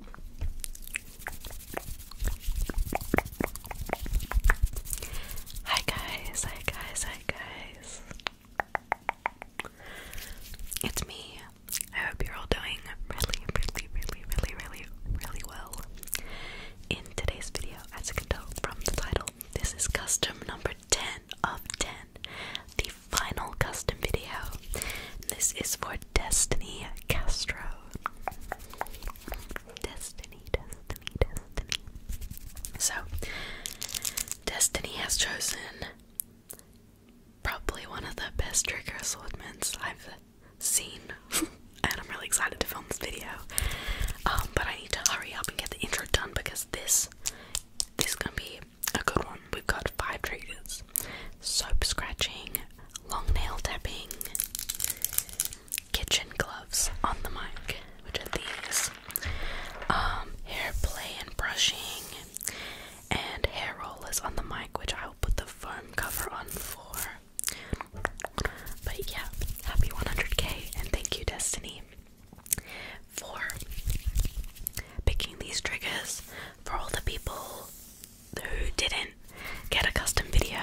Hi guys, hi guys, hi guys. It's me. I hope you're all doing really, really, really, really, really, really well. In today's video, as you can tell from the title, this is custom number 10 of 10, the final custom video. This is for Destiny Castro. Destiny, Destiny, Destiny. So, Destiny has chosen probably one of the best trigger assortments I've seen, and I'm really excited to film this video. Um, but I need to hurry up and get the intro done because this, this is gonna be a good one. We've got five triggers: soap scratching, long nail tapping, kitchen gloves on the mic, which are these, um, hair play and brushing, and hair rollers on the mic, which I will put the foam cover on for. But yeah, happy 100k, and thank you, Destiny, for picking these triggers for all the people who didn't get a custom video,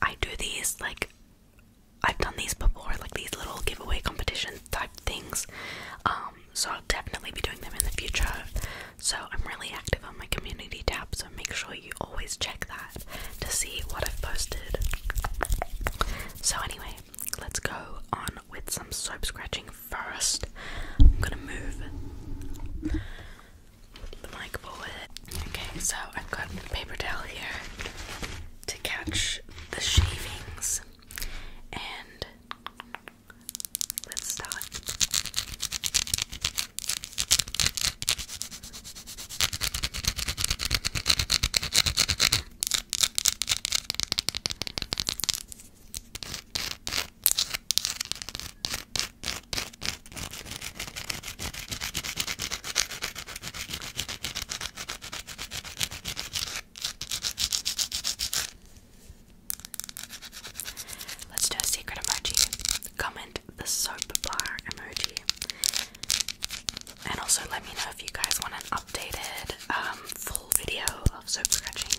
I do these like I've done these before, like these little giveaway competition type things. Um, so I'll definitely be doing them in the future. So I'm really active on my community tab, so make sure you always check that to see what I've posted. So anyway, let's go on with some soap scratching first. I'm gonna move Okay, so I've got a paper towel here to catch the shavings, and let's start. Let's do a secret emoji. Comment the soap bar emoji. And also let me know if you guys want an updated um, full video of soap scratching.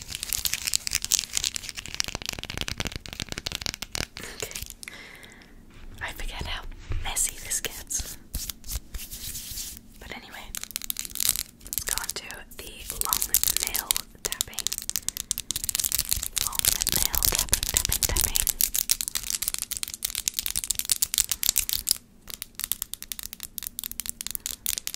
I forget how messy this gets. But anyway, go on to the long nail tapping. Long nail tapping, tapping, tapping.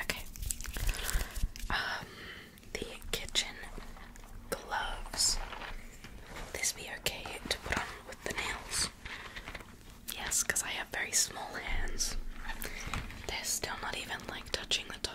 Okay. Um, the kitchen gloves. Will this be okay to put on with the nails? Yes, because I have very small hands. They're still not even like touching the top.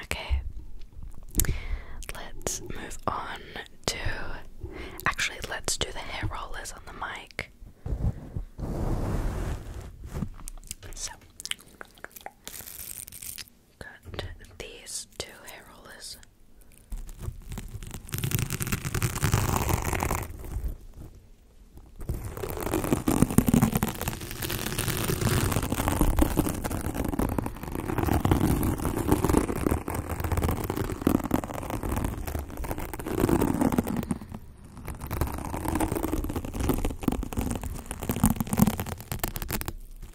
Okay, let's move on to. Actually, let's do the hair rollers on the mic. So, got these two hair rollers.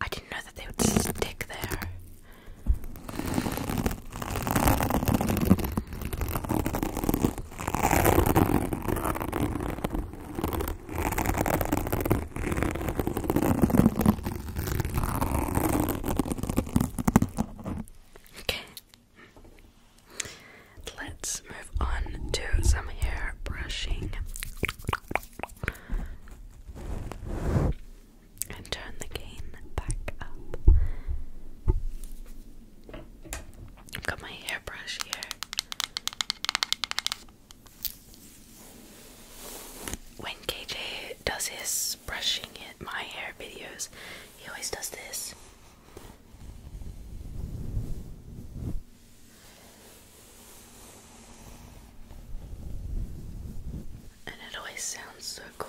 I didn't know that they would stick there. Okay. Let's move on to some hair brushing and turn the gain back up. got my hairbrush here. When KJ does his brushing it, my hair videos, he always does this. And it always sounds so cool.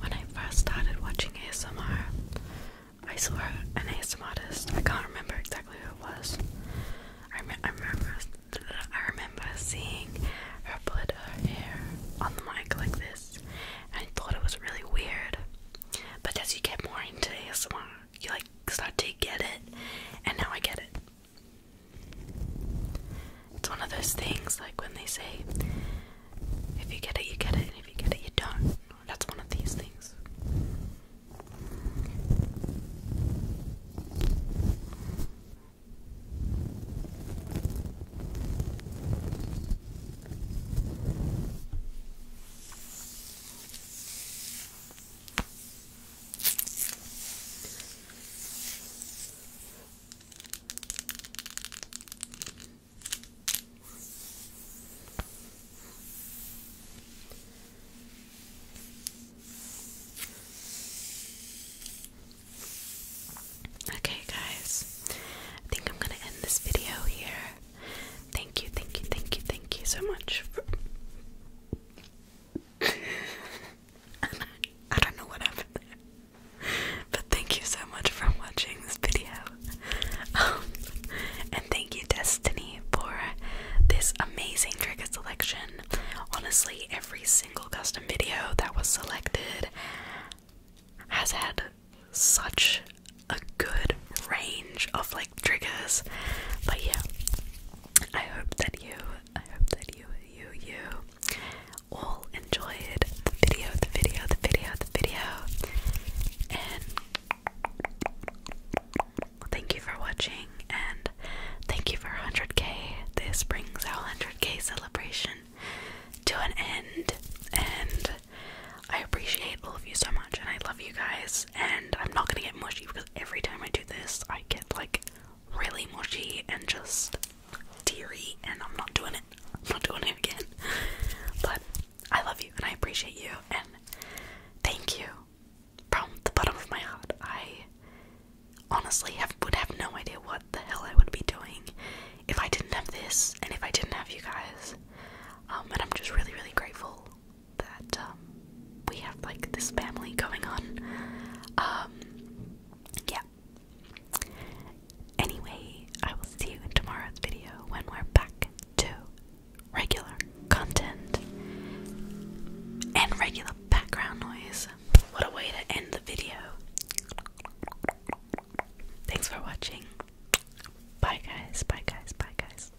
When I first started watching ASMR, I saw an ASMR artist. I can't remember exactly who it was. I, remember I remember seeing her put her hair on the mic like this, I thought it was really weird. But as you get more into ASMR, you like start to get it, and now I get it. It's one of those things like when they say, if you get it, you get it, and if you get it, you don't. That's one of these things. Okay, guys, I think I'm going to end this video here. Thank you, thank you, thank you, thank you so much for I don't know what happened But thank you so much for watching this video. Um, and thank you, Destiny, for this amazing trigger selection. Honestly, every single custom video that was selected has had such a good range of like triggers. But yeah, I hope that you, I hope that you, you, you all enjoyed the video, the video, the video, the video. And thank you for watching and thank you for 100k. This brings our 100k celebration to an end. And I appreciate all of you so much and I love you guys and I'm not gonna get mushy because every time I do this, I get like really mushy and just teary, and I'm not doing it. I'm not doing it again. But I love you and I appreciate you, and thank you from the bottom of my heart. I honestly would have no idea what the hell I would be doing if I didn't have this and if I didn't have you guys. Um, and I'm just really, really grateful that um, we have like this family going on. Um, yeah. Anyway, I will see you in tomorrow's video when we're back to regular content and regular background noise. What a way to end the video! Thanks for watching. Bye, guys. Bye, guys. Bye, guys.